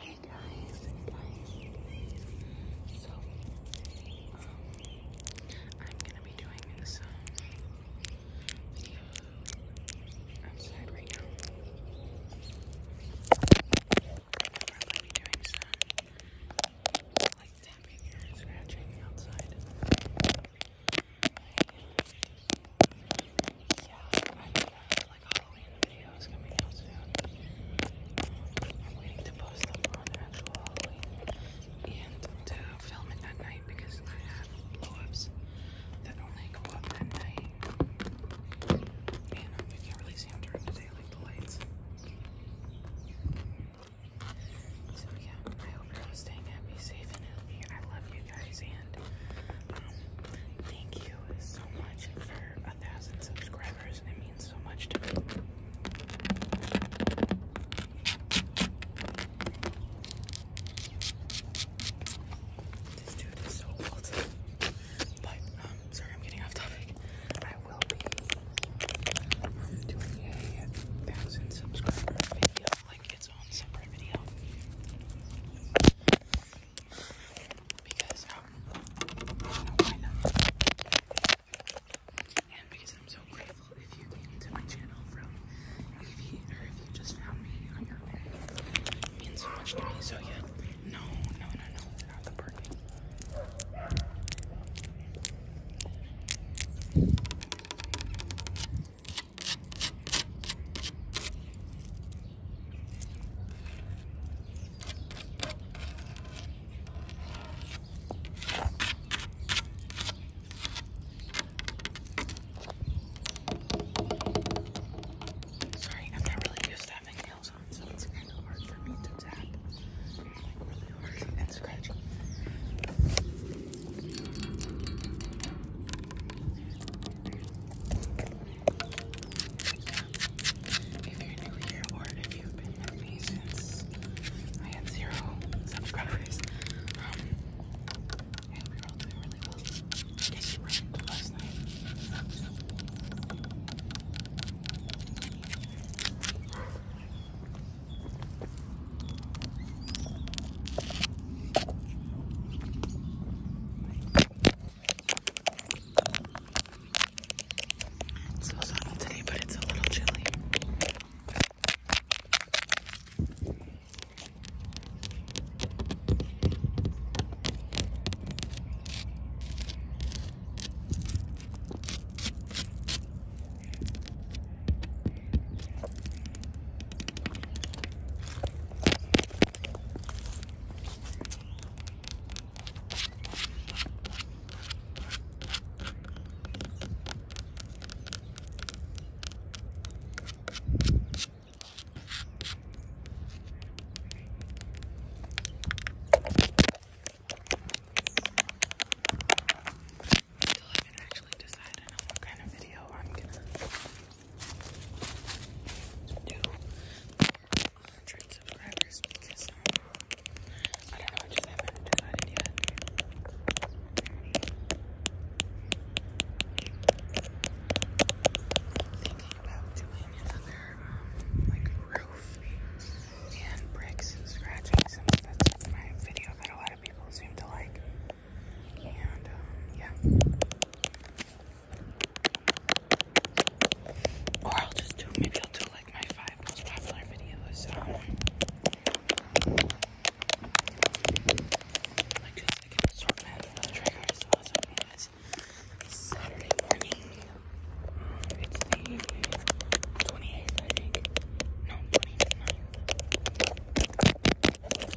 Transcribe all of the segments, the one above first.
Hey guys, So, um, I'm gonna be doing some outside right now. I'm probably be doing some like tapping and scratching outside yeah, I like Halloween videos coming out soon. I'm waiting to post them on actual Halloween and to film it at night because I have blow that only go up at night. And you can't really see them during the day, like the lights. So yeah, I hope you're all staying happy, safe, and healthy. I love you guys, and um, thank you so much for a thousand subscribers. It means so much to me. This dude is so old. But, um, sorry, I'm getting off topic. I will be um, doing a thousand subscriber video, like its own separate video because um, And because I'm so grateful if you came to my channel from if you or if you just found me on your own. It means so much to me. So yeah, no, no, no, no, not the parking. Sorry, I'm not really used to having nails on, so it's kind of hard for me to tap. Like really hard and scratchy. If you're new here or if you've been with me since I had zero subscribers, um, and we were all doing really well. I guess you were last night. It's so sunny today, but it's a little chilly. I haven't actually decided on what kind of video I'm gonna do subscribers because um, I don't know, I just haven't decided yet. Thinking about doing another um, like roof and bricks and scratching some that's my video that a lot of people seem to like. Um, or I'll just do maybe I'll do like my five most popular videos. Um, like just like an of Saturday morning. Um, it's the 28th, I think. No,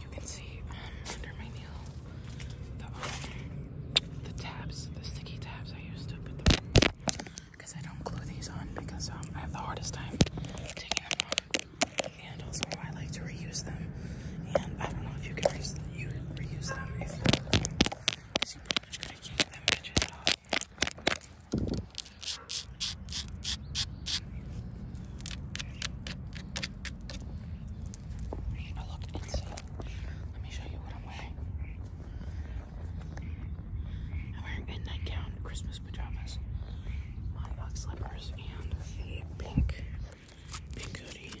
You can see um, under my nail the, um, the tabs, the sticky tabs I used to put them because I don't glue these on because um, I have the hardest time taking them off. And also I like to reuse them. And I don't know if you can reuse them if you, so you can them, bitches off. I looked insane. Let me show you what I'm wearing. I'm wearing a nightgown, Christmas pajamas, my dog slippers, and a pink, pink hoodie.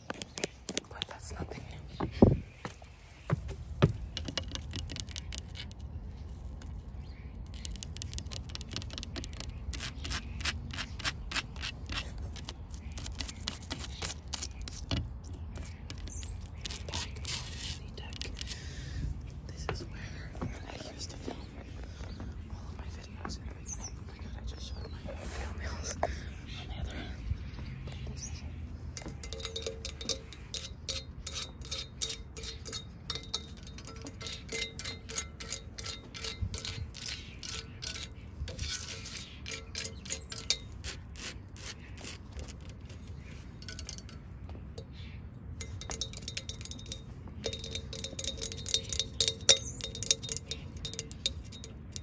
But that's not This is where I used to film all of my videos in the beginning. Oh my god, I just showed my toenails on the other hand. This is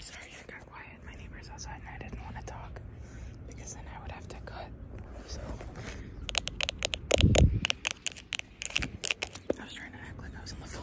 Sorry, I got quiet. My neighbor's outside and I didn't want to talk because then I would have to cut. So I was trying to act like I was on the phone.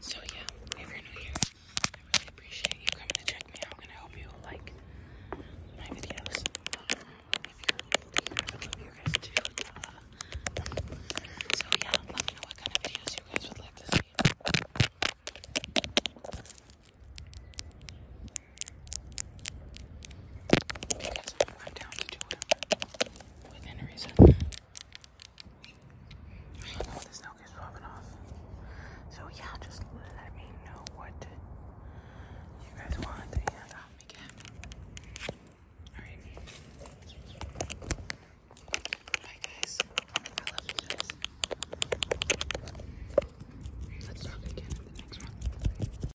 So yeah, if new here, I really appreciate you coming to check me out and I hope you like my videos. Um, uh, so yeah, let me know what kind of videos you guys would like to see. Because I'm down to do it within reason. I know this now gets rubbing off. So yeah, just let me know what you guys want and I'll Alright. Bye guys. I love you guys. Let's talk again in the next one.